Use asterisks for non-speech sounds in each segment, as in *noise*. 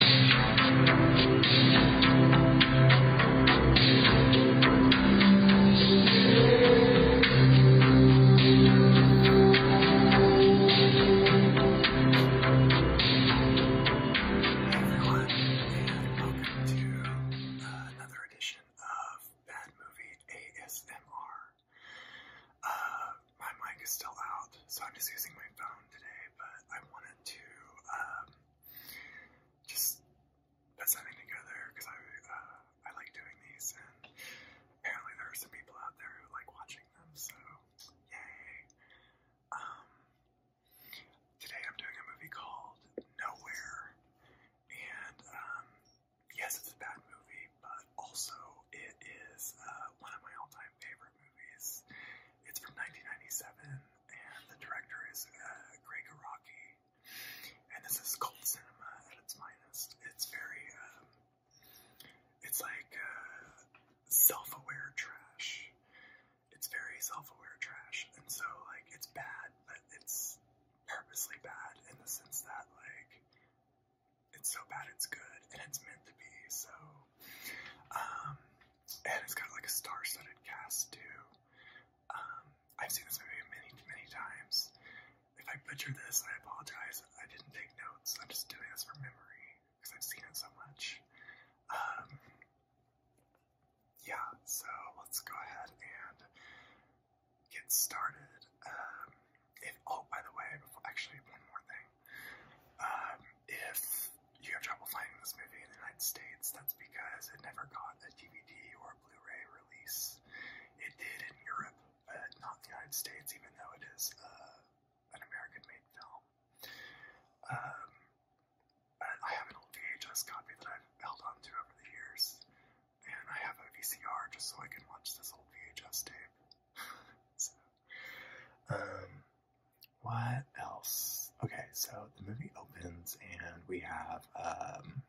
everyone, and welcome to another edition of Bad Movie ASMR. Uh, my mic is still out, so I'm just using my phone phone today, but I wanted to um, just put something together because I uh, I like doing these, and apparently there are some people out there who like watching them. So yay! Um, today I'm doing a movie called Nowhere, and um, yes, it's a bad movie, but also it is uh, one of my all-time all-time favorite movies. It's from 1997, and the director is uh, Greg Araki. And this is cult cinema at its finest. It's very, um, it's like uh, self-aware trash. It's very self-aware trash, and so like it's bad, but it's purposely bad in the sense that like it's so bad it's good, and it's meant to be. So, um, and it's got like a star-studded cast too. Um, I've seen this movie many, many times. If I butcher this, I apologize. I didn't take notes. I'm just doing this from memory because I've seen it so much. Um, yeah, so let's go ahead and get started. Um, if, oh, by the way, before, actually, one more thing thing. Um, if you have trouble finding this movie in the United States, that's because it never got a DVD or a Blu-ray release. It did in Europe, but not in the United States, even though it is uh, an American-made film. Um, but I have an old VHS copy that I've held on to over the years, and I have a VCR just so I can watch this old VHS tape. *laughs* so, um, what else? Okay, so the movie opens and we have um,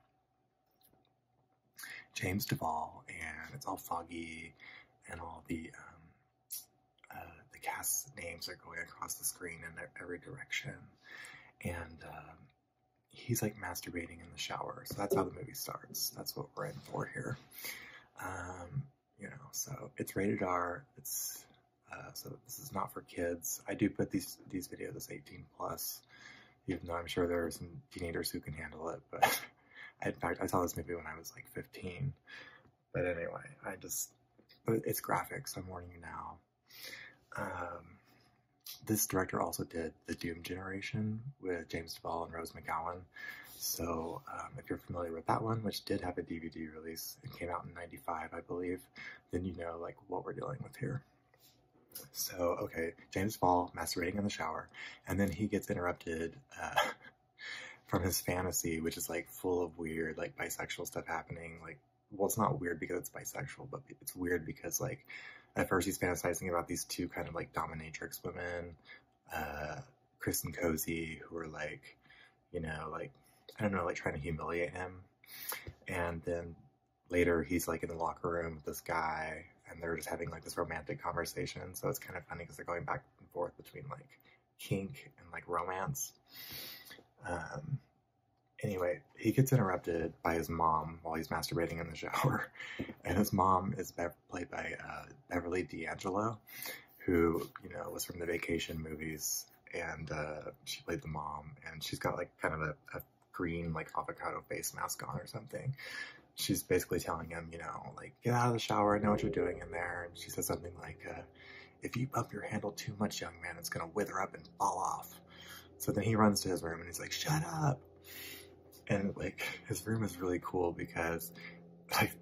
James Duvall, and it's all foggy, and all the um, uh, the cast names are going across the screen in every direction, and um, he's like masturbating in the shower. So that's how the movie starts. That's what we're in for here you know, so it's rated R. It's uh, so this is not for kids. I do put these these videos as 18 plus, even though I'm sure there are some teenagers who can handle it. But *laughs* in fact, I saw this movie when I was like 15. But anyway, I just it's graphic, so I'm warning you now. Um, this director also did the Doom Generation with James Duvall and Rose McGowan. So um, if you're familiar with that one, which did have a DVD release and came out in Five, I believe, then you know like what we're dealing with here. So, okay, James Ball masturbating in the shower, and then he gets interrupted uh, *laughs* from his fantasy, which is like full of weird, like bisexual stuff happening. Like, well, it's not weird because it's bisexual, but it's weird because like at first he's fantasizing about these two kind of like dominatrix women, uh, Chris and Cozy, who are like you know, like, I don't know, like trying to humiliate him. And then later he's like in the locker room with this guy and they're just having like this romantic conversation. So it's kind of funny because they're going back and forth between like kink and like romance. Um, anyway, he gets interrupted by his mom while he's masturbating in the shower. *laughs* And his mom is played by uh, Beverly D'Angelo, who, you know, was from the vacation movies and uh, she played the mom, and she's got like kind of a, green like avocado face mask on or something. She's basically telling him, you know, like get out of the shower. I know what you're doing in there. And she says something like, uh, "If you bump your handle too much, young man, it's gonna wither up and fall off." So then he runs to his room and he's like, "Shut up!" And like his room is really cool because like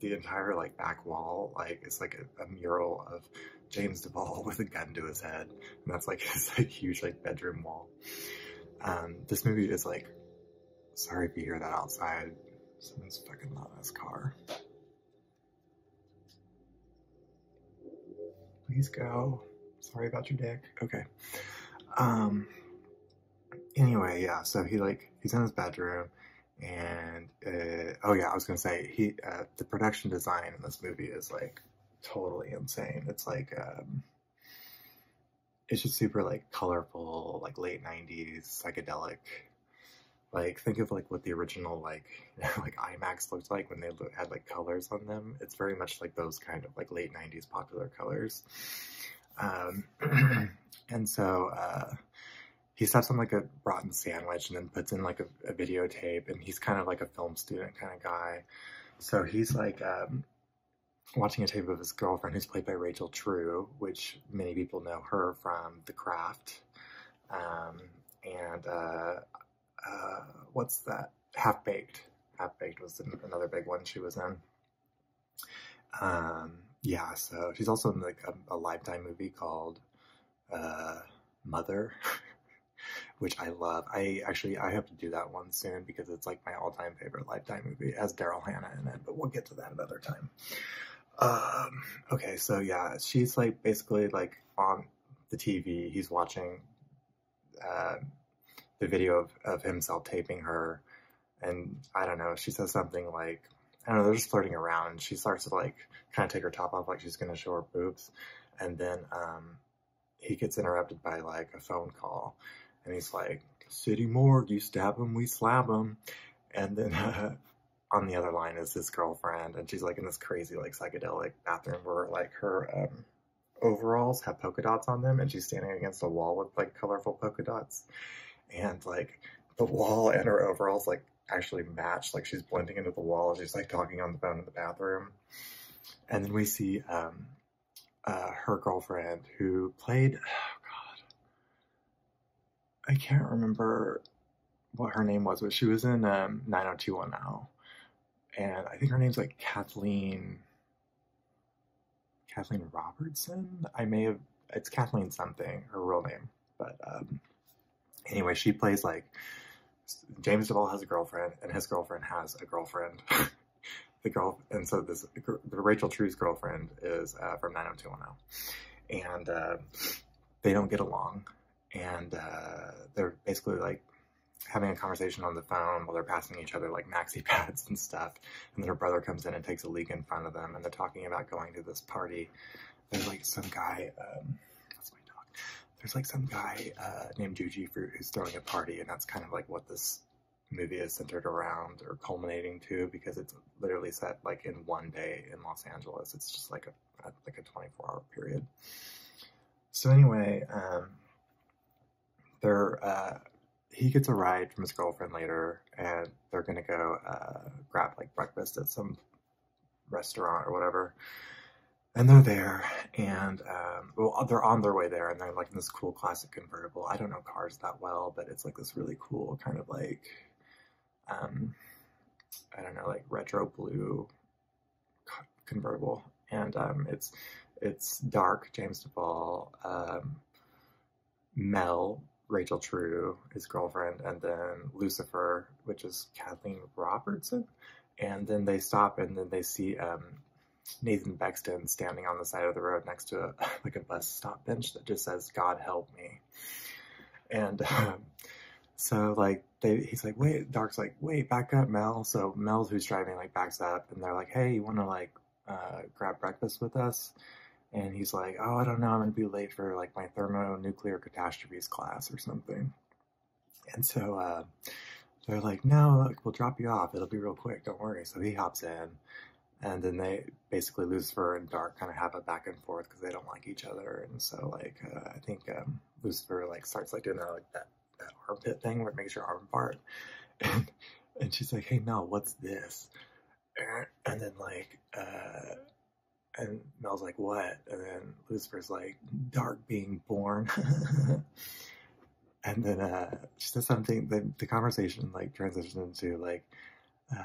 the entire like back wall like it's like a mural of James Deval *laughs* with a gun to his head, and that's like his *laughs* like, huge like bedroom wall. Um, this movie is like, sorry if you hear that outside. Someone's fucking not in his car. Please go. Sorry about your dick. Okay. Um. Anyway, yeah. So he like he's in his bedroom and uh, oh yeah, I was gonna say he uh, the production design in this movie is like totally insane. It's like um, it's just super like colorful, like late '90s psychedelic. Like think of like what the original like *laughs* like IMAX looked like when they had like colors on them. It's very much like those kind of like late '90s popular colors. Um, *clears throat* and so uh, he steps on like a rotten sandwich and then puts in like a, videotape and he's kind of like a film student kind of guy so he's like um, watching a tape of his girlfriend who's played by rachel true which many people know her from the craft um, and uh, uh, what's that half baked half baked was another big one she was in um, yeah so she's also in like a lifetime movie called uh, Mother, *laughs* which I love. I actually I have to do that one soon because it's like my all-time favorite Lifetime movie, as Daryl Hannah in it. But we'll get to that another time. Um, okay, so yeah, she's like basically like on the TV. He's watching uh, the video of, of himself taping her, and I don't know. She says something like, I don't know. They're just flirting around, she starts to like kind of take her top off like she's going to show her boobs. And then um, he gets interrupted by like a phone call. And he's like, City Morgue, you stab him, we slap him. And then *laughs* on the other line is his girlfriend. And she's like in this crazy, like psychedelic bathroom where like her um, overalls have polka dots on them. And she's standing against a wall with like colorful polka dots. And like, the wall and her overalls like actually match. Like she's blending into the wall. She's like talking on the phone in the bathroom. And then we see um, uh, her girlfriend who played, oh God, I can't remember what her name was, but she was in um, oh now, And I think her name's like Kathleen, Kathleen Robertson. I may have, it's Kathleen something, her real name. But um, anyway, she plays like James Duvall has a girlfriend, and his girlfriend has a girlfriend. *laughs* the girl, and so this the Rachel True's girlfriend is uh, from 90210, and uh, they don't get along, and uh, they're basically like having a conversation on the phone while they're passing each other like maxi *laughs* pads and stuff. And then her brother comes in and takes a leak in front of them, and they're talking about going to this party. There's like some guy. Um, that's my dog there's like some guy uh, named Juji Fruit who's throwing a party, and that's kind of like what this movie is centered around or culminating to because it's literally set like in one day in Los Angeles. It's just like a, like a 24 hour period. So anyway, um, uh, he gets a ride from his girlfriend later, and they're gonna go uh, grab like breakfast at some restaurant or whatever. And they're there, and um, well, they're on their way there, and they're like in this cool classic convertible. I don't know cars that well, but it's like this really cool kind of like, um, I don't know, like retro blue convertible, and um, it's it's dark. James Duvall, um, Mel, Rachel True, his girlfriend, and then Lucifer, which is Kathleen Robertson. And then they stop and then they see um, Nathan Bexton standing on the side of the road next to *laughs* like a bus stop bench that just says, God help me. And um, so like he's like, wait, Dark's like, wait, back up Mel. So Mel, who's driving like backs up and they're like, Hey, you want to like, uh, grab breakfast with us? And he's like, oh, I don't know. I'm going to be late for like my thermonuclear catastrophes class or something. And so uh, they're like, no, we'll drop you off. It'll be real quick. Don't worry. So he hops in. And then they basically, Lucifer and Dark kind of have a back and forth because they don't like each other. And so, like, uh, I think um, Lucifer, like, starts, like, doing that, like, that, that armpit thing where it makes your arm fart. *laughs* And, and she's like, hey, Mel, what's this? And then, like, uh, and Mel's like, what? And then Lucifer's like, dark being born. *laughs* and then uh, she says something, the, the conversation like transitions into like, uh,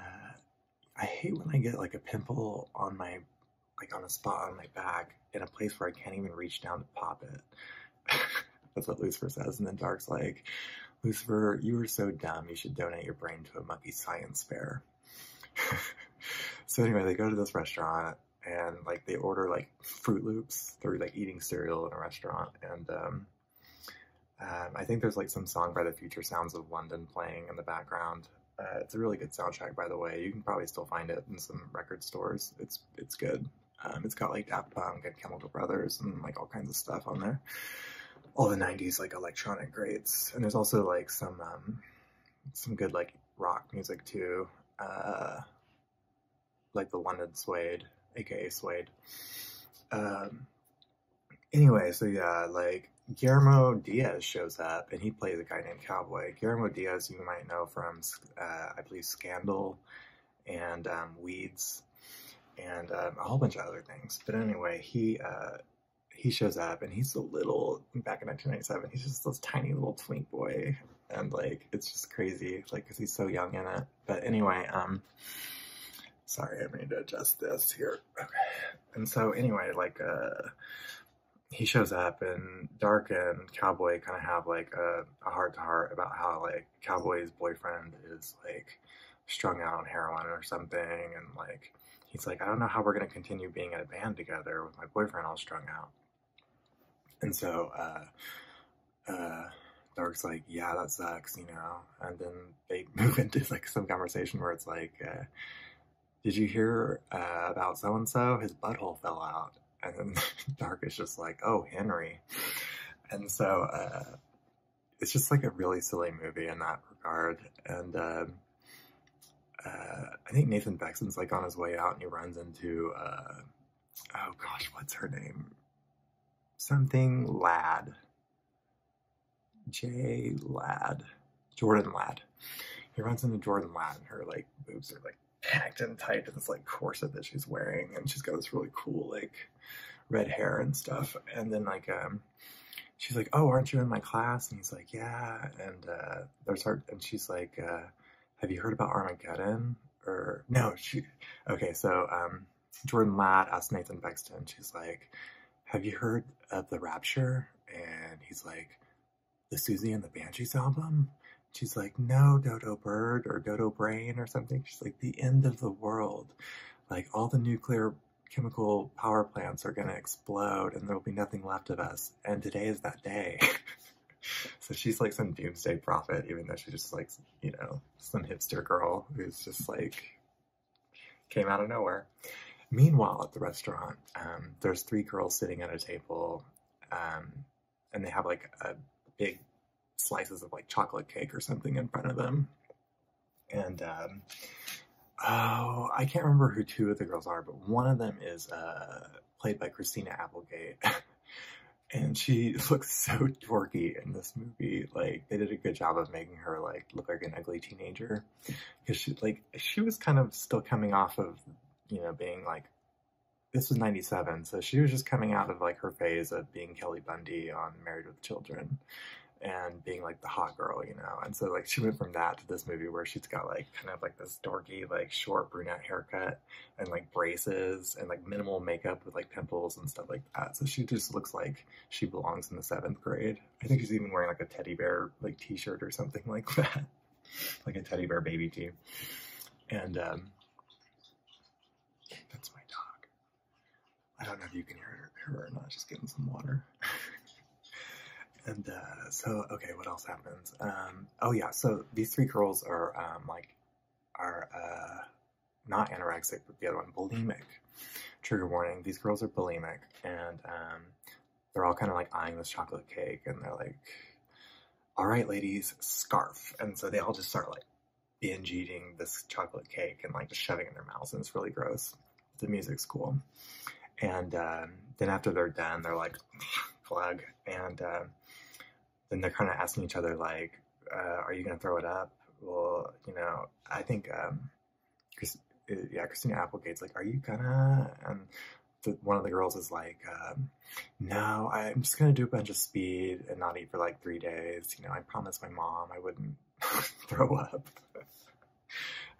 I hate when I get like a pimple on my, like on a spot on my back in a place where I can't even reach down to pop it. *laughs* That's what Lucifer says. And then Dark's like, Lucifer, you are so dumb. You should donate your brain to a monkey science fair. *laughs* so anyway, they go to this restaurant and like they order like Fruit Loops. through like eating cereal in a restaurant, and um, um, I think there's like some song by the Future Sounds of London playing in the background. Uh, it's a really good soundtrack, by the way. You can probably still find it in some record stores. It's it's good. Um, it's got like Dap Punk and Chemical Brothers and like all kinds of stuff on there. All the '90s like electronic greats, and there's also like some um, some good like rock music too, uh, like the London Suede, aka Suede. Um, anyway, so yeah, like Guillermo Diaz shows up and he plays a guy named Cowboy. Guillermo Diaz, you might know from, uh, I believe, Scandal and um, Weeds and um, a whole bunch of other things. But anyway, he uh, he shows up and he's a little back in 1997. He's just this tiny little twink boy, and like it's just crazy, like because he's so young in it. But anyway, um, sorry, I need to adjust this here. Okay. And so anyway, like uh, he shows up, and Dark and Cowboy kind of have like a, a heart to heart about how like Cowboy's boyfriend is like strung out on heroin or something, and like he's like, I don't know how we're gonna continue being in a band together with my boyfriend all strung out. And so uh, uh, Dark's like, yeah, that sucks, you know. And then they *laughs* move into like some conversation where it's like, uh, did you hear uh, about so and so? His butthole fell out. And then *laughs* Dark is just like, oh, Henry. And so uh, it's just like a really silly movie in that regard. And um, uh, I think Nathan Paxton's like on his way out and he runs into, uh, oh gosh, what's her name? Something Lad. Jay Lad, Jordan Lad. He runs into Jordan Lad, and her like boobs are like packed and tight to this like corset that she's wearing and she's got this really cool like red hair and stuff. And then like um she's like, Oh, aren't you in my class? And he's like, Yeah and uh there's her and she's like uh have you heard about Armageddon? Or no, she, okay, so um, Jordan Ladd asked Nathan Bexton, she's like, have you heard of The Rapture? And he's like, the Susie and the Banshees album? She's like, no, Dodo Bird or Dodo Brain or something. She's like, the end of the world. Like, all the nuclear chemical power plants are going to explode and there will be nothing left of us and today is that day. *laughs* so she's like some doomsday prophet, even though she's just like, you know, some hipster girl who's just like came out of nowhere. Meanwhile, at the restaurant, um, there's three girls sitting at a table, um, and they have like a big slices of like chocolate cake or something in front of them. And um, oh, I can't remember who two of the girls are, but one of them is uh, played by Christina Applegate. *laughs* and she *laughs* looks so dorky in this movie. Like, they did a good job of making her, like, look like an ugly teenager. Because she, like, she was kind of still coming off of, you know, being, like, this was 97, so she was just coming out of, like, her phase of being Kelly Bundy on Married with Children and being like the hot girl, you know. And so like she went from that to this movie where she's got like kind of like this dorky, like short brunette haircut and like braces and like minimal makeup with like pimples and stuff like that. So she just looks like she belongs in the seventh grade. I think she's even wearing like a teddy bear like t-shirt or something *laughs* like that. like a teddy bear baby tee. And um that's my dog. I don't know if you can hear her, her or not, just getting some water. *laughs* and uh so okay, what else happens? Um oh yeah, so these three girls are um, like are uh, not anorexic, but the other one bulimic. Trigger warning: these girls are bulimic, and um, they're all kind of like eyeing this chocolate cake, and they're like, "All right, ladies, scarf!" And so they all just start like binge eating this chocolate cake and like just shoving in their mouths, and it's really gross. The music's cool, and um, then after they're done, they're like, "Plug," and um, then they're kind of asking each other like, uh, "Are you going to throw it up?" Well, you know, I think, um, uh, yeah, Christina Applegate's like, "Are you gonna?" And one of the girls is like, um, "No, I'm just gonna do a bunch of speed and not eat for like three days." You know, I promised my mom I wouldn't *laughs* throw up. *laughs*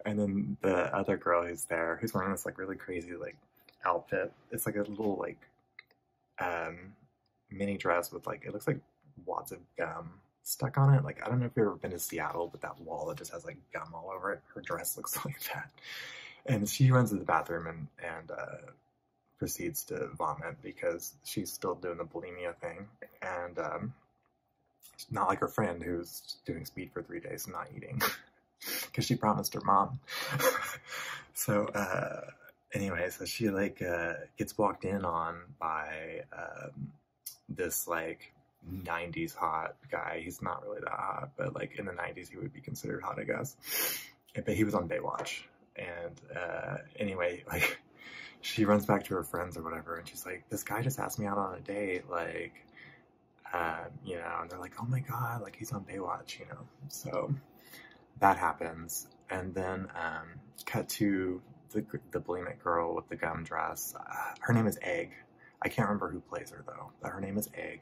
and then the other girl who's there, who's wearing this like really crazy like outfit. It's like a little like um, mini dress with like it looks like wads of gum stuck on it. Like I don't know if you've ever been to Seattle, but that wall that just has like gum all over it. Her dress *laughs* looks like that. And she runs to the bathroom and and uh, proceeds to vomit because she's still doing the bulimia thing and um, not like her friend who's doing speed for three days and not eating. *laughs* because she promised her mom. *laughs* so, uh, anyway, so she like uh, gets walked in on by um, this like 90s hot guy. He's not really that hot, but like in the 90s, he would be considered hot, I guess. But he was on Baywatch. And uh, anyway, *laughs* like she runs back to her friends or whatever, and she's like, This guy just asked me out on a date. Like, um, you know, they're like, oh my god, like he's on Baywatch, you know. So that happens. And then um, cut to the, the bulimic girl with the gum dress. Uh, her name is Egg. I can't remember who plays her though, but her name is Egg.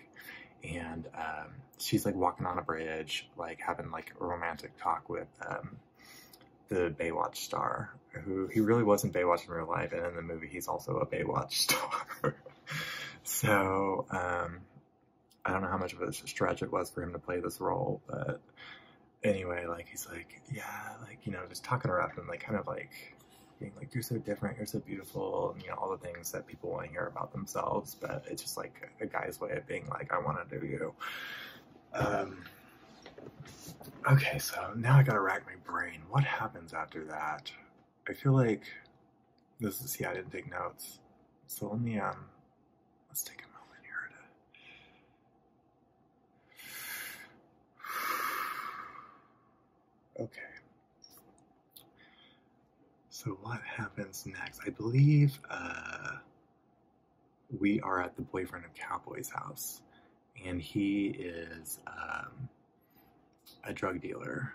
And um, she's like walking on a bridge, like having like a romantic talk with the Baywatch star, who he really wasn't Baywatch in real life, and in the movie he's also a Baywatch *laughs* star. so I don't know how much of a stretch it was for him to play this role, but anyway, like he's like, yeah, like you know, just talking her up and like kind of like being like, you're so different, you're so beautiful, and you know, all the things that people want to hear about themselves. But it's just like a guy's way of being like, I want to do you. Um, okay, so now I gotta rack my brain. What happens after that? I feel like this is, yeah, I didn't take notes. So let me, um, let's take a moment here *sighs* Okay. So what happens next? I believe uh, we are at the boyfriend of Cowboy's house, and he is um, a drug dealer,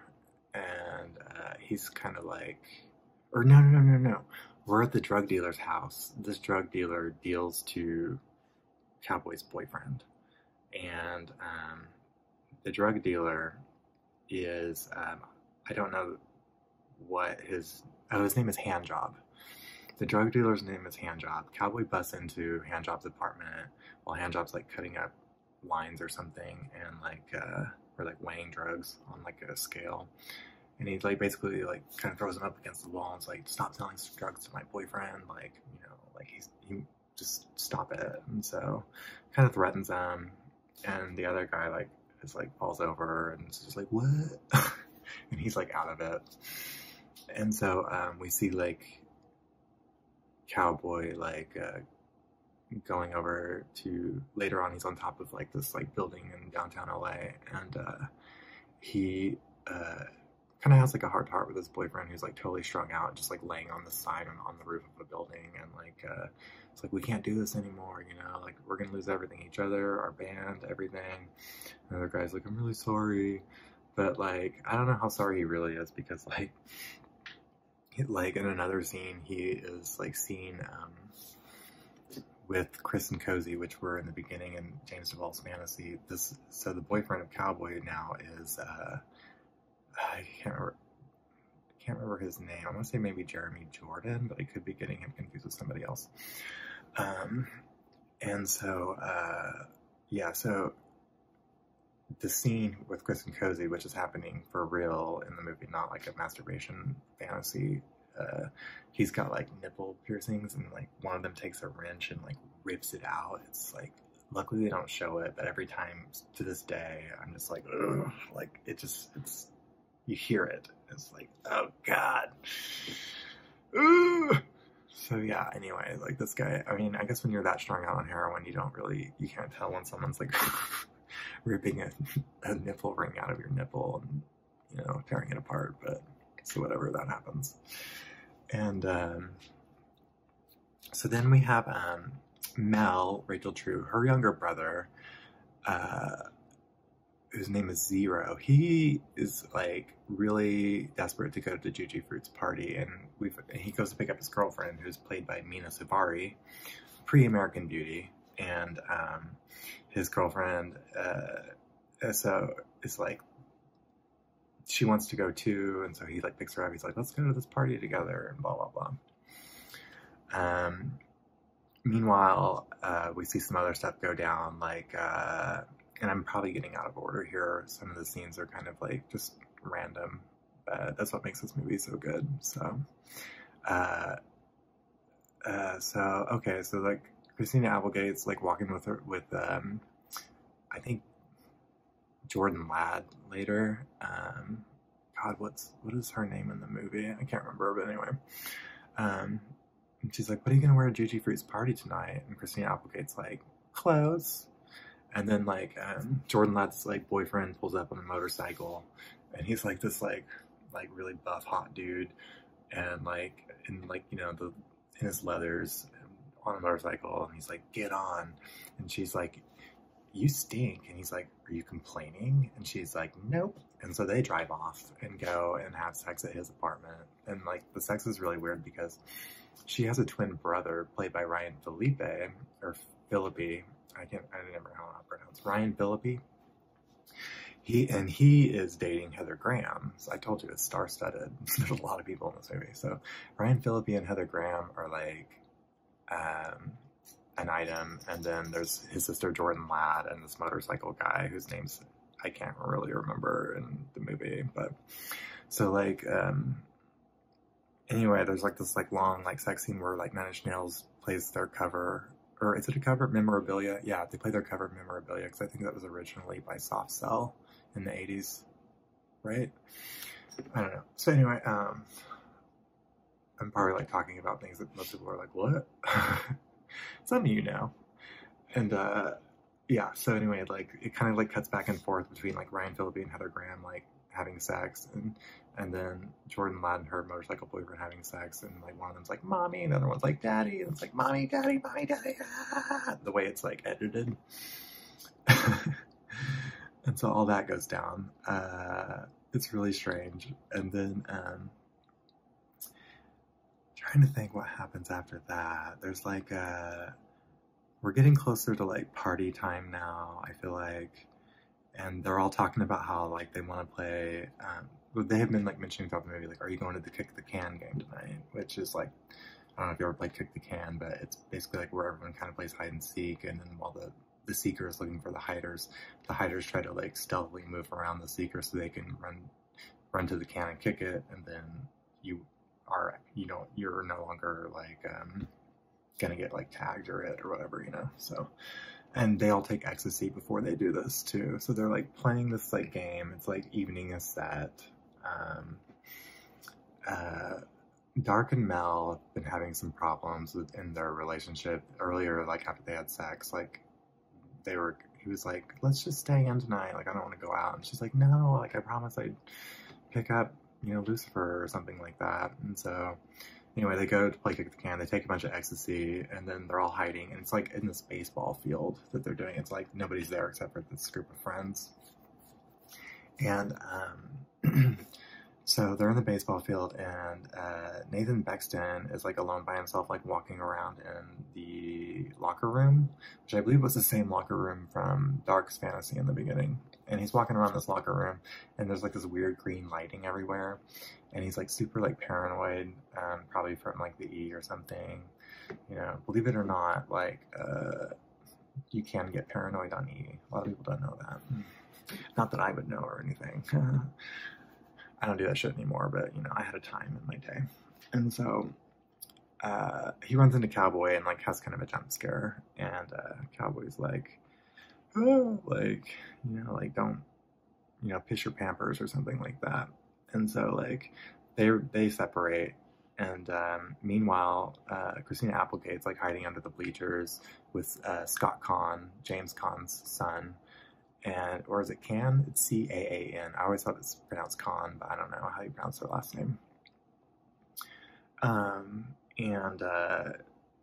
and uh, he's kind of like, or no, no, no, no, We're at the drug dealer's house. This drug dealer deals to Cowboy's boyfriend, and um, the drug dealer is um, I don't know what his oh his name is Handjob. The drug dealer's name is Handjob. Cowboy busts into Handjob's apartment while Handjob's like cutting up lines or something, and like uh, we're like weighing drugs on like a scale, and he like basically like kind of throws him up against the wall and is like, "Stop selling drugs to my boyfriend!" Like you know, like he's he just stop it, and so kind of threatens him, and the other guy like is like falls over and is just like what, *laughs* and he's like out of it, and so um, we see like cowboy like. Uh, going over to later on he's on top of like this like building in downtown la and uh, he uh, kind of has like a heart to heart with his boyfriend who's like totally strung out just like laying on the side on, on the roof of a building and like uh, it's like we can't do this anymore you know like we're gonna lose everything each other our band everything The guy's like i'm really sorry but like i don't know how sorry he really is because like like in another scene, he is like seen um, with Chris and Cozy, which were in the beginning in James DeVall's fantasy. This so the boyfriend of Cowboy now is uh, I can't remember. his name. I want to say maybe Jeremy Jordan, but I could be getting him confused with somebody else. Um, and so, uh, yeah, so the scene with Chris and Cozy, which is happening for real in the movie, not like a masturbation fantasy. Uh, he's got like nipple piercings, and like one of them takes a wrench and like rips it out. It's like luckily they don't show it, but every time to this day, I'm just like, like it just it's you hear it. It's like, oh god. So yeah, anyway, like this guy, I mean, I guess when you're that strong on heroin, you don't really, you can't tell when someone's like *laughs* ripping *laughs* a, nipple ring out of your nipple and you know tearing it apart but so whatever that happens and um, so then we have um, mel rachel true her younger brother uh, whose name is zero he is like really desperate to go to Juju fruit's party and we he goes to pick up his girlfriend who's played by mina savari pre-american beauty and um, his girlfriend. so uh, it's like she wants to go too, and so he like picks her up. He's like, "Let's go to this party together," and blah blah blah. Um, meanwhile, uh, we see some other stuff go down, like, uh, and I'm probably getting out of order here. Some of the scenes are kind of like just random, but that's what makes this movie so good. So, uh, so okay, so like Christina Applegate's like walking with her with um, I think Jordan Ladd later. Um, God, what's what is her name in the movie? I can't remember, but anyway. Um, and she's like, "What are you gonna wear to Gigi Fruit's party tonight?" And Christina Applegate's like, "Clothes." And then like um, Jordan Ladd's like boyfriend pulls up on a motorcycle, and he's like this like like really buff hot dude and like in like you know the in his leathers on a motorcycle and he's like get on and she's like you stink and he's like are you complaining and she's like nope and so they drive off and go and have sex at his apartment and like the sex is really weird because she has a twin brother played by Ryan Felipe or Philippi I can't I don't remember how to pronounce Ryan Philippi he and he is dating Heather Graham. I told you it's star-studded. *laughs* There's a lot of people in this movie. So Ryan Phillippe and Heather Graham are like um, an item, and then there's his sister Jordan Ladd and this motorcycle guy whose name's I can't really remember in the movie, but so like um, anyway, there's like this like long like sex scene where like Nine Inch plays their cover or is it a cover memorabilia? Yeah, they play their cover memorabilia because I think that was originally by Soft Cell in the 80s, right? I don't know. So anyway, um, I'm probably like talking about things that most people are like, what? Some *laughs* of you know, And uh, yeah, so anyway, like it kind of like cuts back and forth between like Ryan Phillippe and Heather Graham like having sex and and then Jordan Ladd and her motorcycle boyfriend having sex, and like one of them's like mommy, and the other one's like daddy, and it's like mommy, daddy, mommy, daddy. Ah! The way it's like edited. *laughs* and so all that goes down. Uh, it's really strange. And then um, trying to think what happens after that. There's like a, uh, we're getting closer to like party time now. I feel like and they're all talking about how like they want to play. Um, they have been like mentioning throughout the movie, like, "Are you going to the kick the can game tonight?" Which is like, I don't know if you ever played kick the can, but it's basically like where everyone kind of plays hide and seek, and then while the the seeker is looking for the hiders, the hiders try to like stealthily move around the seeker so they can run run to the can and kick it, and then you are you know you're no longer like um, gonna get like tagged or hit or whatever you know so and they all take ecstasy before they do this too. So they're like playing this like game. It's like evening is set. Um, uh, Dark and Mel have been having some problems within their relationship earlier, like after they had sex, like they were, he was like, let's just stay in tonight. Like, I don't want to go out. And she's like, no, like I promise I'd pick up, you know, Lucifer or something like that. And so Anyway, they go to play kick the can, they take a bunch of ecstasy, and then they're all hiding. And it's like in this baseball field that they're doing. It's like nobody's there except for this group of friends. And um, *clears throat* so they're in the baseball field, and uh, Nathan Bexton is like alone by himself, like walking around in the locker room, which I believe was the same locker room from Dark's Fantasy in the beginning. And he's walking around this locker room, and there's like this weird green lighting everywhere and he's like super like paranoid, um, probably from like the E or something. You know, believe it or not, like uh, you can get paranoid on E. A lot of people don't know that. Hmm. Not that I would know or anything. *laughs* I don't do that shit anymore, but you know, I had a time in my day, and so. Uh, he runs into Cowboy and like has kind of a jump scare, and uh, Cowboy's like, oh, like you know, like don't you know, piss your pampers or something like that. And so like they they separate. And um, meanwhile, uh, Christina Applegate's like hiding under the bleachers with uh, Scott Kahn, James Kahn's son, and or is it Can? It's C A A N. I always thought it's pronounced Kahn, but I don't know how you pronounce her last name. Um, and uh,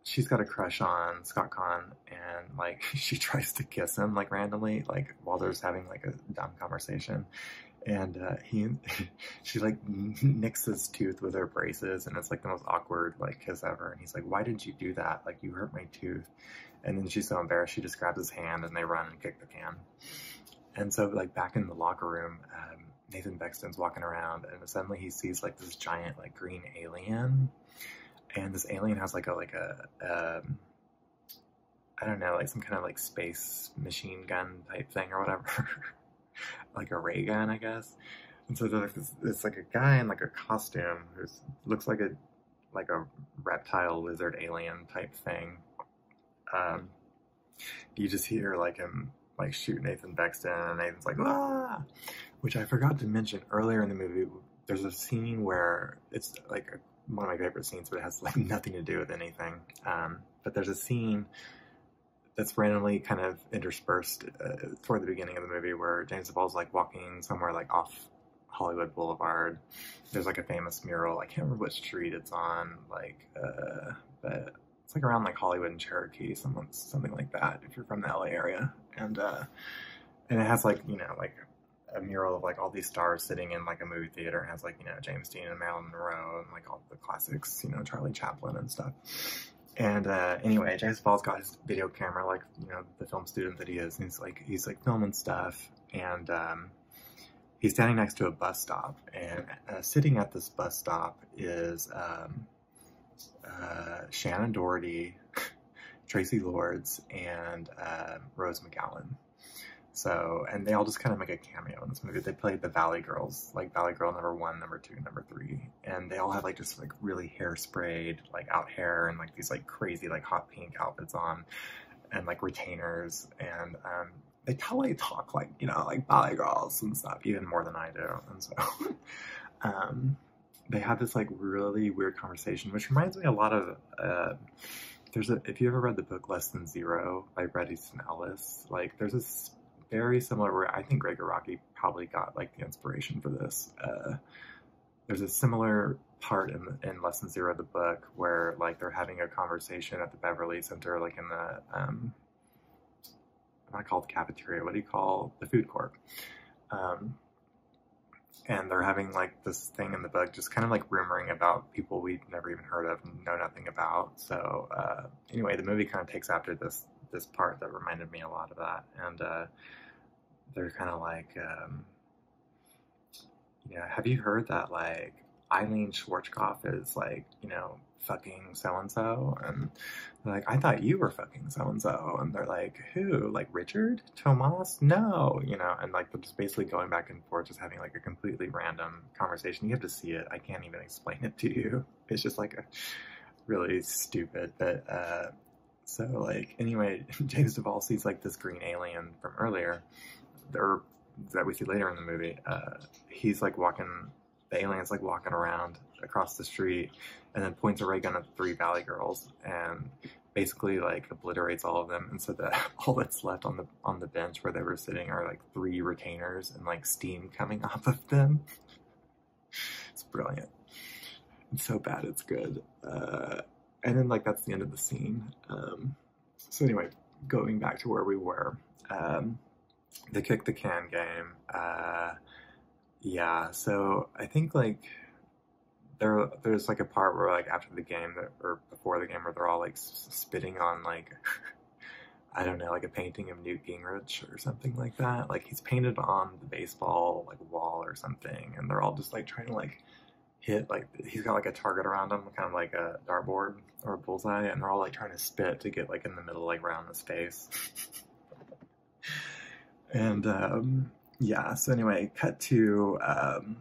she's got a crush on Scott Kahn, and like *laughs* she tries to kiss him like randomly like while they're just having like a dumb conversation and uh, he *laughs* she like *laughs* nicks his tooth with her braces and it's like the most awkward like kiss ever and he's like why did you do that like you hurt my tooth and then she's so embarrassed she just grabs his hand and they run and kick the can and so like back in the locker room um, nathan bexton's walking around and suddenly he sees like this giant like green alien and this alien has like a like a um, don't know like some kind of like space machine gun type thing or whatever, *laughs* like a ray gun I guess. And so it's like a guy in like a costume who looks like a like a reptile lizard alien type thing. Um, you just hear like him like shoot Nathan Bexton and Nathan's like ah, which I forgot to mention earlier in the movie there's a scene where it's like one of my favorite scenes, but it has like *laughs* nothing to do with anything. Um, but there's a scene that's randomly kind of interspersed uh, toward the beginning of the movie where James DeVall's like walking somewhere like off Hollywood Boulevard. There's like a famous mural. I can't remember what street it's on, like, uh, but it's like around like Hollywood and Cherokee, someone, something like that, if you're from the LA area. And, uh, and it has like, you know, like a mural of like all these stars sitting in like a movie theater has like you know James Dean and Marilyn Monroe and like all the classics you know Charlie Chaplin and stuff and uh, anyway James Paul's got his video camera like you know the film student that he is and he's like he's like filming stuff and um, he's standing next to a bus stop and uh, sitting at this bus stop is um, uh, Shannon Doherty *laughs* Tracy Lords, and um, Rose McGowan. So, and they all just kind of make a cameo in this movie. They played the Valley Girls, like Valley Girl number one, number two, number three. And they all have like just like really hairsprayed, like out hair and like these like crazy, like hot pink outfits on and like retainers. And um, they totally talk like, you know, like Valley Girls and stuff, even more than I do. And so, *laughs* um, they had this like really weird conversation, which reminds me a lot of. Uh, there's a if you ever read the book Less Than Zero by Bret Easton Ellis, like there's a very similar where I think Gregor Rocky probably got like the inspiration for this. Uh, there's a similar part in, in lesson zero of the book where like they're having a conversation at the beverly center like in the um i call it the cafeteria what do you call the food court um, and they're having like this thing in the book, just kind of like rumoring about people we've never even heard of, and know nothing about. So uh, anyway, the movie kind of takes after this this part that reminded me a lot of that, and uh, they're kind of like, um, you know, have you heard that like Eileen Schwartzkopf is like, you know, fucking so and so, and like I thought you were fucking so and so, and they're like, who? Like Richard? Thomas, no, you know, and like just basically going back and forth, just having like a completely random conversation. You have to see it. I can't even explain it to you. *laughs* It's just like a, really stupid, but uh, so like anyway, *laughs* James Duvall sees like this green alien from earlier, or that we see later in the movie. Uh, he's like walking. The alien's like walking around across the street, and then points a ray gun at three Valley girls, and basically like obliterates all of them and so that *laughs* all that's left on the on the bench where they were sitting are like three retainers and like steam coming *laughs* off of them it's brilliant it's so bad it's good uh, and then like that's the end of the scene um, so anyway going back to where we were um, the kick the can game uh, yeah so i think like there there's like a part where like after the game or before the game where they're all like spitting on like *laughs* I don't know like a painting of Newt Gingrich or something like that. Like he's painted on the baseball like wall or something, and they're all just like trying to like hit like he's got like a target around him, kind of like a dartboard or a bullseye, and they're all like trying to spit to get like in the middle like around his face. *laughs* and um, yeah, so anyway, cut to. Um,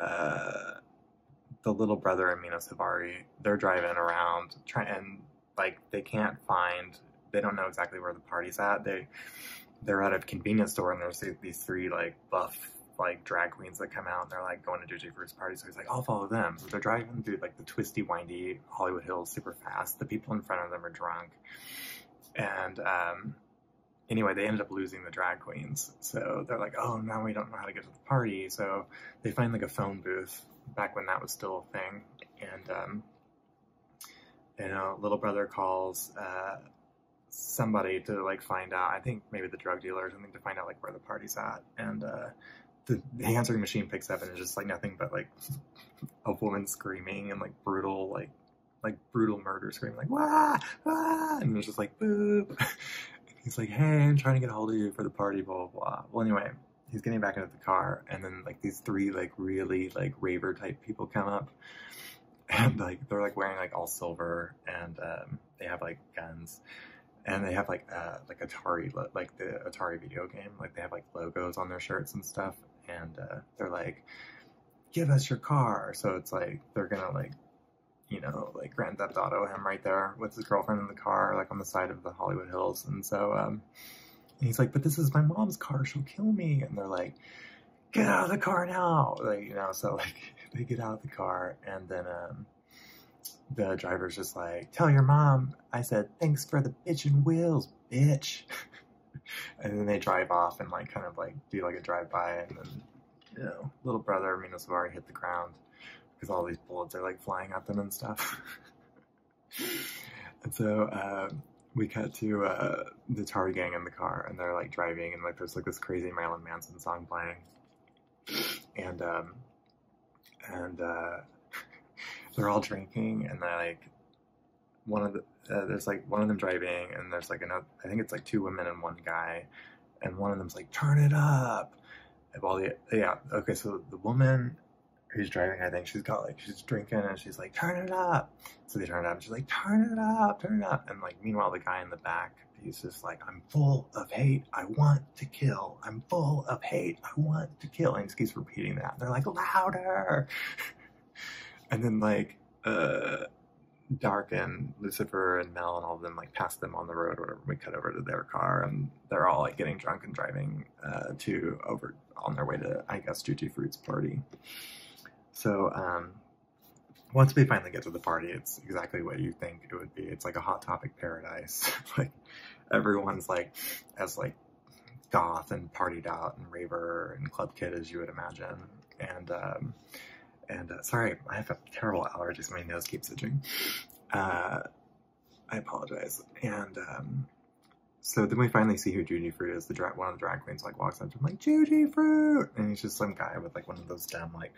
uh, the little brother and Mino Savari, they're driving around trying and like they can't find they don't know exactly where the party's at. They they're at a convenience store and there's these three like buff like drag queens that come out and they're like going to JJ Fruit's party. So he's like, I'll follow them. So they're driving through like the twisty, windy Hollywood Hills super fast. The people in front of them are drunk. And um, anyway, they ended up losing the drag queens. So they're like, oh, now we don't know how to get to the party. So they find like a phone booth back when that was still a thing. And, you um, know, little brother calls uh, somebody to like find out. I think maybe the drug dealer or something to find out like where the party's at. And uh, the, the answering machine picks up and it's just like nothing but like *laughs* a woman screaming and like brutal, like like brutal murder scream, like wah, wah, and it's just like boop. *laughs* he's like, hey, I'm trying to get a hold of you for the party, blah blah blah. Well, anyway, he's getting back into the car, and then like these three like really like raver type people come up, *laughs* and like they're like wearing like all silver, and um, they have like guns. And they have like uh, like Atari like the Atari video game like they have like logos on their shirts and stuff and uh, they're like give us your car. So it's like they're gonna like, you know, like Grand Theft Auto him right there with his girlfriend in the car, like on the side of the Hollywood Hills. And so, um, he's like, but this is my mom's car. She'll kill me. And they're like, get out of the car now. Like, you know, so *laughs* like they get out of the car and then, um, the driver's just like, tell your mom. I said, thanks for the bitchin' wheels, bitch. *laughs* and then they drive off and like kind of like do like a drive by and then you know, little brother already hit the ground because all these bullets are like flying at them and stuff. *laughs* and so uh, we cut to uh, the Tar gang in the car and they're like driving and like there's like this crazy Marilyn Manson song playing. And um, and uh, *laughs* they're all drinking and like one of the there's like one of them driving and there's like another I think it's like two women and one guy, and one of them's like, "Turn it up." All the yeah, okay. So the woman who's driving, I think she's got like she's drinking and she's like, "Turn it up." So they turn it up. And she's like, "Turn it up, turn it up." And like meanwhile, the guy in the back, he's just like, "I'm full of hate. I want to kill. I'm full of hate. I want to kill." And he keeps repeating that. they're like, "Louder." *laughs* and then like uh, Dark and Lucifer and Mel and all of them like pass them on the road whenever we cut over to their car, and they're all like getting drunk and driving uh, to over on their way to I guess Tutti Fruit's party. So um, once we finally get to the party, it's exactly what you think it would be. It's like a hot topic paradise. *laughs* like everyone's like as like goth and partied out and raver and club kid as you would imagine, and um, and uh, sorry, I have a terrible allergies. My nose keeps itching. Uh, I apologize. And um, so then we finally see who Judy Fruit is. The one of the drag queens like walks up I'm like Judy Fruit, and he's just some guy with like one of those damn like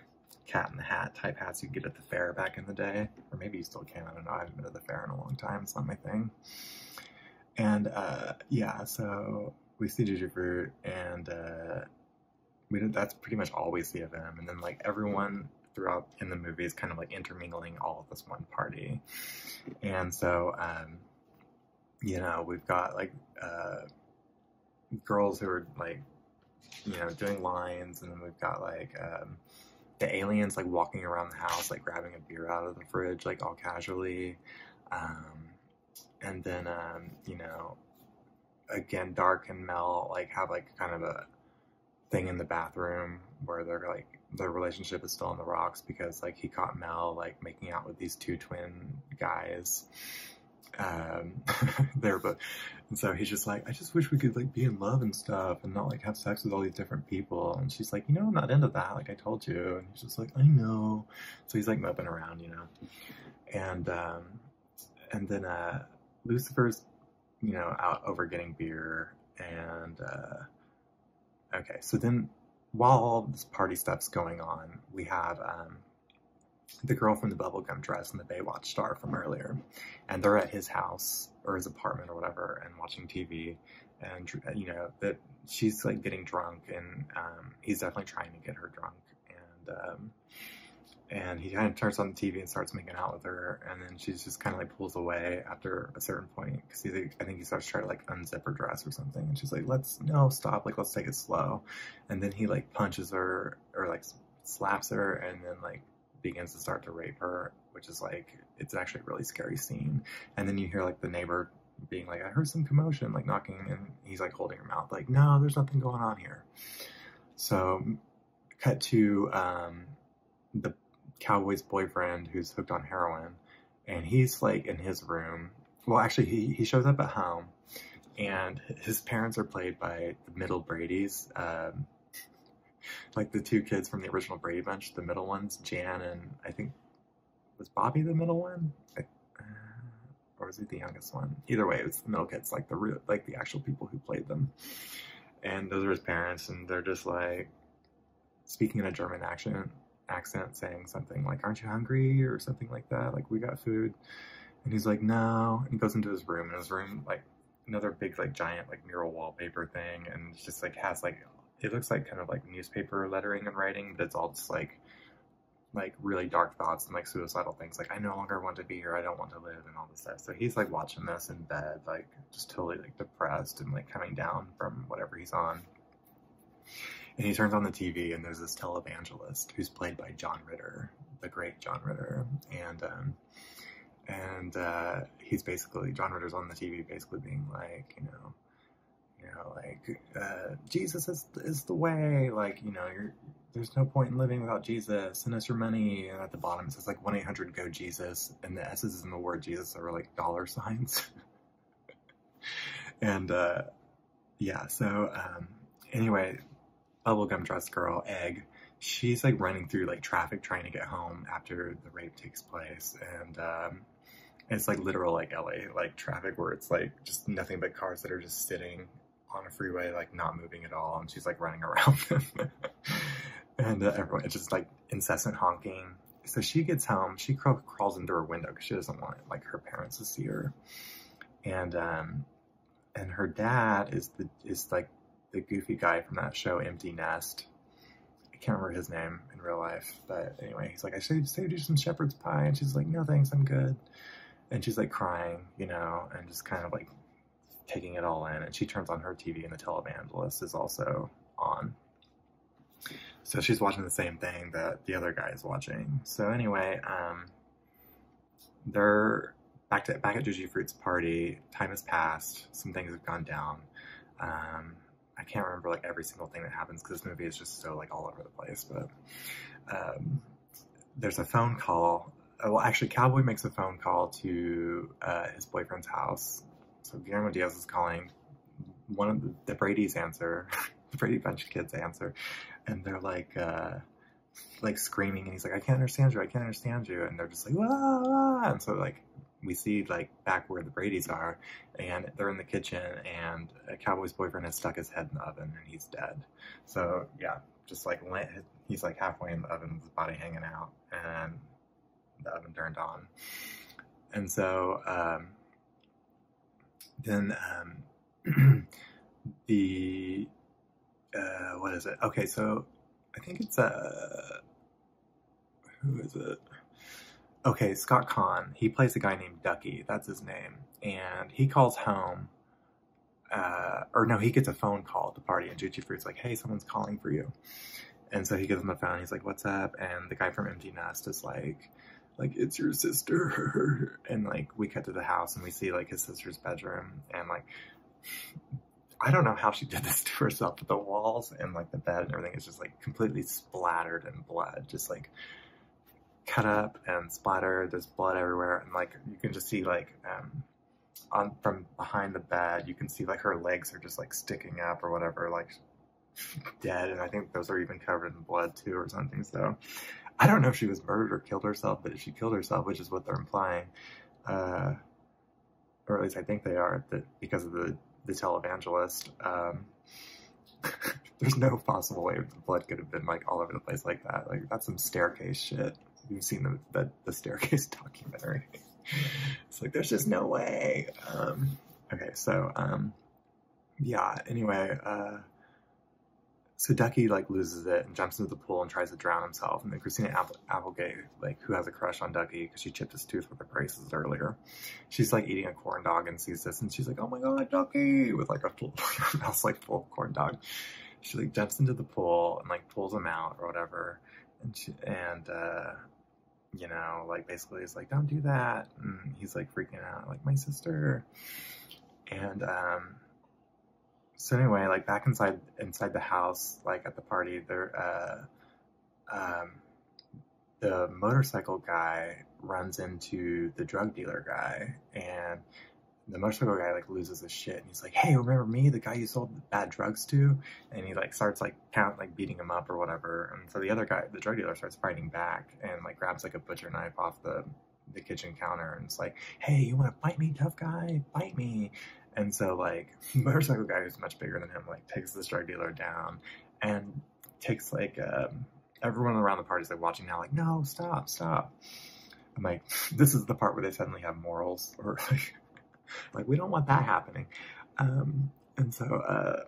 cat in the hat type hats you get at the fair back in the day, or maybe you still can. I don't know. I haven't been to the fair in a long time. It's not my thing. And uh, yeah, so we see Judy Fruit, and uh, we that's pretty much all we see of him. And then like everyone throughout in the movie is kind of like intermingling all of this one party. And so, um, you know, we've got like uh, girls who are like, you know, doing lines, and then we've got like um, the aliens like walking around the house, like grabbing a beer out of the fridge, like all casually. Um, and then um, you know, again, Dark and Mel like have like kind of a thing in the bathroom where they're like their relationship is still on the rocks because like he caught Mel like making out with these two twin guys. Um, *laughs* there. But and so he's just like, I just wish we could like be in love and stuff and not like have sex with all these different people. And she's like, you know, I'm not into that. Like I told you. And he's just like, I know. So he's like moping around, you know, and um, and then uh, Lucifer's, you know, out over getting beer, and uh, okay, so then while all this party stuff's going on, we have um, the girl from the bubblegum dress and the Baywatch star from earlier, and they're at his house or his apartment or whatever, and watching TV, and you know that she's like getting drunk, and um, he's definitely trying to get her drunk, and um, and he kind of turns on the TV and starts making out with her, and then she just kind of like pulls away after a certain point because he's like, I think he starts trying to like unzip her dress or something, and she's like, "Let's no stop, like let's take it slow," and then he like punches her or like slaps her, and then like begins to start to rape her, which is like it's actually a really scary scene, and then you hear like the neighbor being like, "I heard some commotion," like knocking, and he's like holding her mouth, like, "No, there's nothing going on here," So, cut to um, the cowboy's boyfriend who's hooked on heroin, and he's like in his room. Well, actually, he, he shows up at home, and his parents are played by the middle Brady's, um, like the two kids from the original Brady Bunch, the middle ones, Jan and I think was Bobby the middle one? Uh, or was he the youngest one? Either way, it was the middle kids, like the real, like the actual people who played them. And those are his parents, and they're just like speaking in a German accent, accent, saying something like "Aren't you hungry?" or something like that. Like we got food, and he's like, "No," and he goes into his room, and his room like another big like giant like mural wallpaper thing, and just like has like it looks like kind of like newspaper lettering and writing, but it's all just like like really dark thoughts and like suicidal things like i no longer want to be here i don't want to live and all this stuff so he's like watching this in bed like just totally like depressed and like coming down from whatever he's on and he turns on the tv and there's this televangelist who's played by john ritter the great john ritter and um and uh he's basically john ritter's on the tv basically being like you know you know, like uh, Jesus is is the way. Like you know, you're there's no point in living without Jesus. Send us your money. And at the bottom, it says like 1 800 GO Jesus. And the S's in the word Jesus are like dollar signs. *laughs* and uh, yeah, so um, anyway, Bubblegum Dress Girl, Egg, she's like running through like traffic trying to get home after the rape takes place. And um, it's like literal like LA, like traffic where it's like just nothing but cars that are just sitting on a freeway, like not moving at all, and she's like running around *laughs* them. and uh, everyone, it's just like incessant honking. So she gets home, she crawls into her window because she doesn't want like her parents to see her. And um, and her dad is the is like the goofy guy from that show Empty Nest. I can't remember his name in real life, but anyway, he's like, I should saved you some shepherd's pie, and she's like, No thanks, I'm good and she's like crying, you know, and just kind of like taking it all in. And she turns on her TV, and the televangelist is also on. So she's watching the same thing that the other guy is watching. So anyway, um, they're back at back at Juju Fruit's party. Time has passed. Some things have gone down. Um, I can't remember like every single thing that happens because this movie is just so like all over the place. But um, there's a phone call. Uh, well, actually, Cowboy makes a phone call to uh, his boyfriend's house. So Guillermo Diaz is calling. One of the, Brady's answer, *laughs* the Brady Bunch kids answer, and they're like, uh, like screaming, and he's like, "I can't understand you! I can't understand you!" And they're just like, "Wah!" And so like we see like back where the Brady's are, and they're in the kitchen, and Cowboy's boyfriend has stuck his head in the oven, and he's dead. So yeah, just like he's like halfway in the oven with his body hanging out, and the oven turned on. And so um, then um, *clears throat* the uh, what is it? Okay, so I think it's uh, who is it? Okay, Scott Kahn. He plays a guy named Ducky. That's his name, and he calls home uh, or no, he gets a phone call at the party, and Juju Fruit's like, "Hey, someone's calling for you," and so he gets on the phone. He's like, "What's up?" And the guy from Empty Nest is like, "Like it's your sister," *laughs* and like we cut to the house and we see like his sister's bedroom, and like I don't know how she did this *laughs* to herself, but the walls and like the bed and everything is just like completely splattered in blood, just like cut up and splattered. There's blood everywhere, and like you can just see like um, on from behind the bed, you can see like her legs are just like sticking up or whatever, like *laughs* dead. And I think those are even covered in blood too or something. So I don't know if she was murdered or killed herself, but if she killed herself, which is what they're implying, uh, or at least I think they are, that because of the the televangelist, um, *laughs* there's no possible way the blood could have been like all over the place like that. Like that's some staircase shit you've seen the, the, the staircase *laughs* documentary. it's like, there's just no way. Um, okay, so, um, yeah, anyway, uh, so Ducky like loses it and jumps into the pool and tries to drown himself. And then Christina Applegate, like who has a crush on Ducky because she chipped his tooth with her braces earlier, she's like eating a corn dog and sees this and she's like, "Oh my god, Ducky!" with like a, full, *laughs* like full corn dog. She like jumps into the Pull and like pulls him out or whatever, and and uh, you know like basically he's like don't do that, and he's like freaking out like my sister, and um, so anyway like back inside inside the house like at the party there uh, um, the motorcycle guy runs into the drug dealer guy and the motorcycle guy like loses his shit and he's like, "Hey, remember me? The guy you sold bad drugs to?" And he like starts like count like beating him up or whatever. And so the other guy, the drug dealer, starts fighting back and like grabs like a butcher knife off the the kitchen counter and it's like, "Hey, you want to bite me, tough guy? Bite me!" And so like *laughs* motorcycle guy who's much bigger than him like takes this drug dealer down and takes like um, everyone around the party's like watching now like, "No, stop, stop." I'm like, *laughs* this is the part where they suddenly have morals, or *laughs* like, we don't want that happening. Um, and so uh,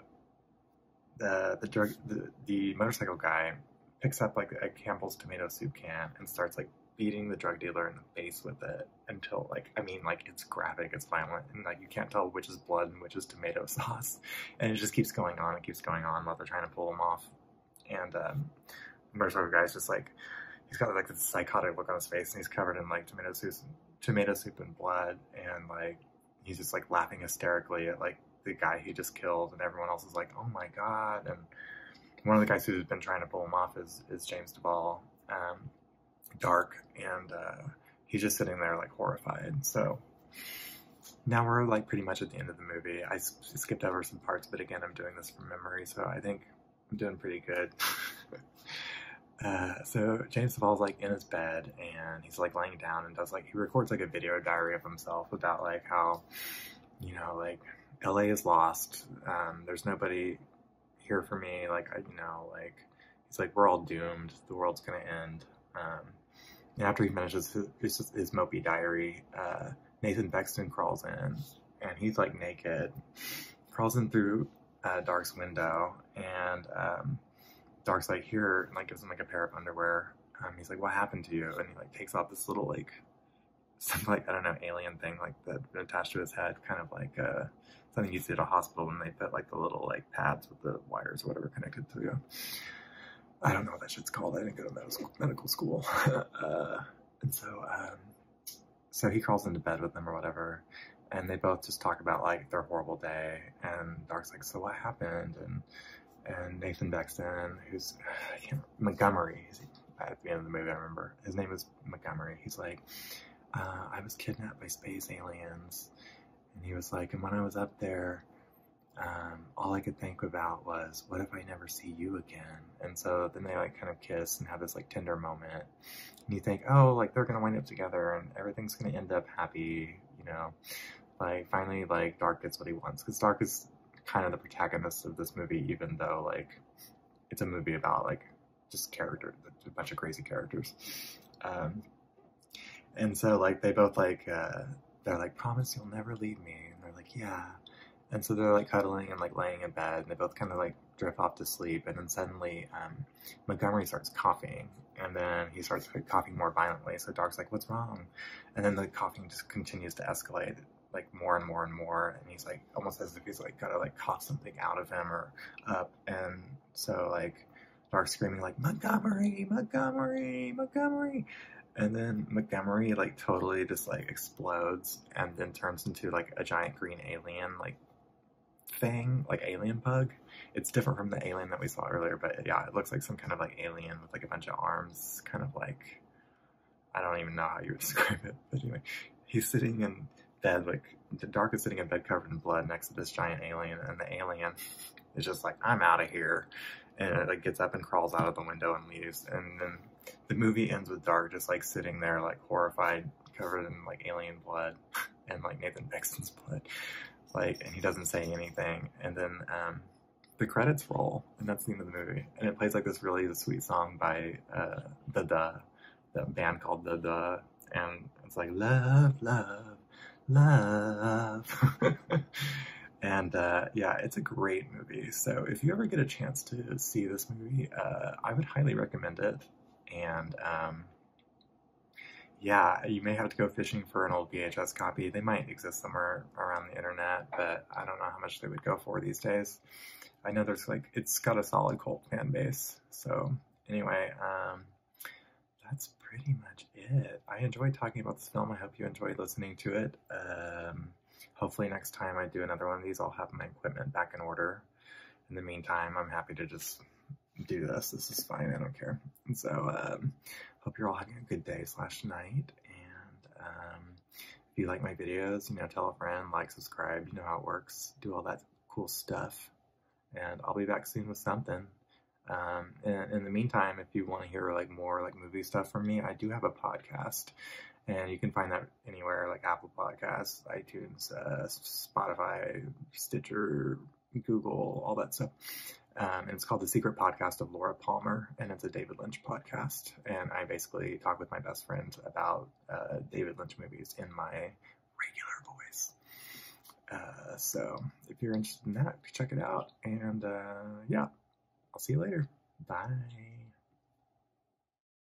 the, drug the the motorcycle guy picks up like a Campbell's tomato soup can and starts like beating the drug dealer in the face with it until like I mean like it's graphic, it's violent, and like you can't tell which is blood and which is tomato *laughs* sauce, and it just keeps going on and keeps going on while they're trying to pull him off and um, the motorcycle guy's just like, he's got like this psychotic look on his face and he's covered in like tomato soup, tomato soup and blood. And like, he's just like laughing hysterically at like the guy he just killed. And everyone else is like, oh my God. And one of the guys who's been trying to pull him off is, is James Duvall, um, dark. And, uh, he's just sitting there like horrified. So now we're like pretty much at the end of the movie. I skipped over some parts, but again, I'm doing this from memory. So I think I'm doing pretty good. *laughs* uh, so James Saval's like in his bed and he's like laying down and does like he records like a video diary of himself about like how you know like LA is lost. Um, there's nobody here for me. Like I, you know like he's like we're all doomed. The world's gonna end. Um, and after he finishes his, mopey diary, uh, Nathan Bexton crawls in and he's like naked, crawls in through uh, Dark's window, and um, Dark's like here, and like gives him like a pair of underwear. Um, he's like, "What happened to you?" And he like takes off this little like *laughs* something like I don't know alien thing like that attached to his head, kind of like uh, something you see at a hospital when they put like the little like pads with the wires or whatever connected to you. I don't know what that shit's called. I didn't go to medical medical school, *laughs* uh, and so um, so he crawls into bed with them or whatever, and they both just talk about like their horrible day. And Dark's like, "So what happened?" And and Nathan Bexton, who's *sighs* Montgomery, he's at the end of the movie, I remember his name is Montgomery. He's like, uh, "I was kidnapped by space aliens," and he was like, "And when I was up there." Um, all I could think about was, what if I never see you again? and so then they like kind of kiss and have this like tender moment and you think oh like they're gonna wind up together and everything's gonna end up happy you know like finally like dark gets what he wants because dark is kind of the protagonist of this movie even though like it's a movie about like just characters, a bunch of crazy characters um, and so like they both like uh, they're like promise you'll never leave me and they're like yeah and so they're like cuddling and like laying in bed, and they both kind of like drift off to sleep. And then suddenly, um, Montgomery starts coughing, and then he starts coughing more violently. So Doc's like, "What's wrong?" And then the coughing just continues to escalate, like more and more and more. And he's like, almost as if he's like gotta like cough something out of him or up. And so like, Doc's screaming like, "Montgomery, Montgomery, Montgomery!" And then Montgomery like totally just like explodes and then turns into like a giant green alien like thing, like alien bug. It's different from the alien that we saw earlier, but yeah, it looks like some kind of like alien with like a bunch of arms, kind of like I don't even know how you would *laughs* describe it. But anyway, he's sitting in bed, like the Dark is sitting in bed covered in blood next to this giant alien, and the alien is just like, I'm out of here. And it like gets up and crawls out of the window and leaves. And then the movie ends with Dark just like sitting there like horrified, covered in like alien blood *laughs* and like Nathan Paxton's blood. Like and he doesn't say anything. And then um, the credits roll and that's the end of the movie. And it plays like this really sweet song by uh, the the band called the the and it's like love, love, love. *laughs* and uh, yeah, it's a great movie. So if you ever get a chance to see this movie, uh, I would highly recommend it, and um, yeah, you may have to go fishing for an old VHS copy. They might exist somewhere around the internet, but I don't know how much they would go for these days. I know there's like it's got a solid cult fan base. So anyway, um, that's pretty much it. I enjoyed talking about the film. I hope you enjoyed listening to it. Um, hopefully next time I do another one of these, I'll have my equipment back in order. In the meantime, I'm happy to just do this. This is fine. I don't care. so, um, hope you're all having a good day slash night. And um, if you like my videos, you know, tell a friend, like, subscribe. You know how it works. Do all that cool stuff. And I'll be back soon with something. and um, in the meantime, if you want to hear like more like movie stuff from me, I do have a podcast, and you can find that anywhere like Apple Podcasts, iTunes, uh, Spotify, Stitcher, Google, all that stuff. Um, and it's called The Secret Podcast of Laura Palmer, and it's a David Lynch podcast. And I basically talk with my best friend about uh, David Lynch movies in my regular voice. Uh, so if you're interested in that, check it out. And yeah, I'll see you later. Bye.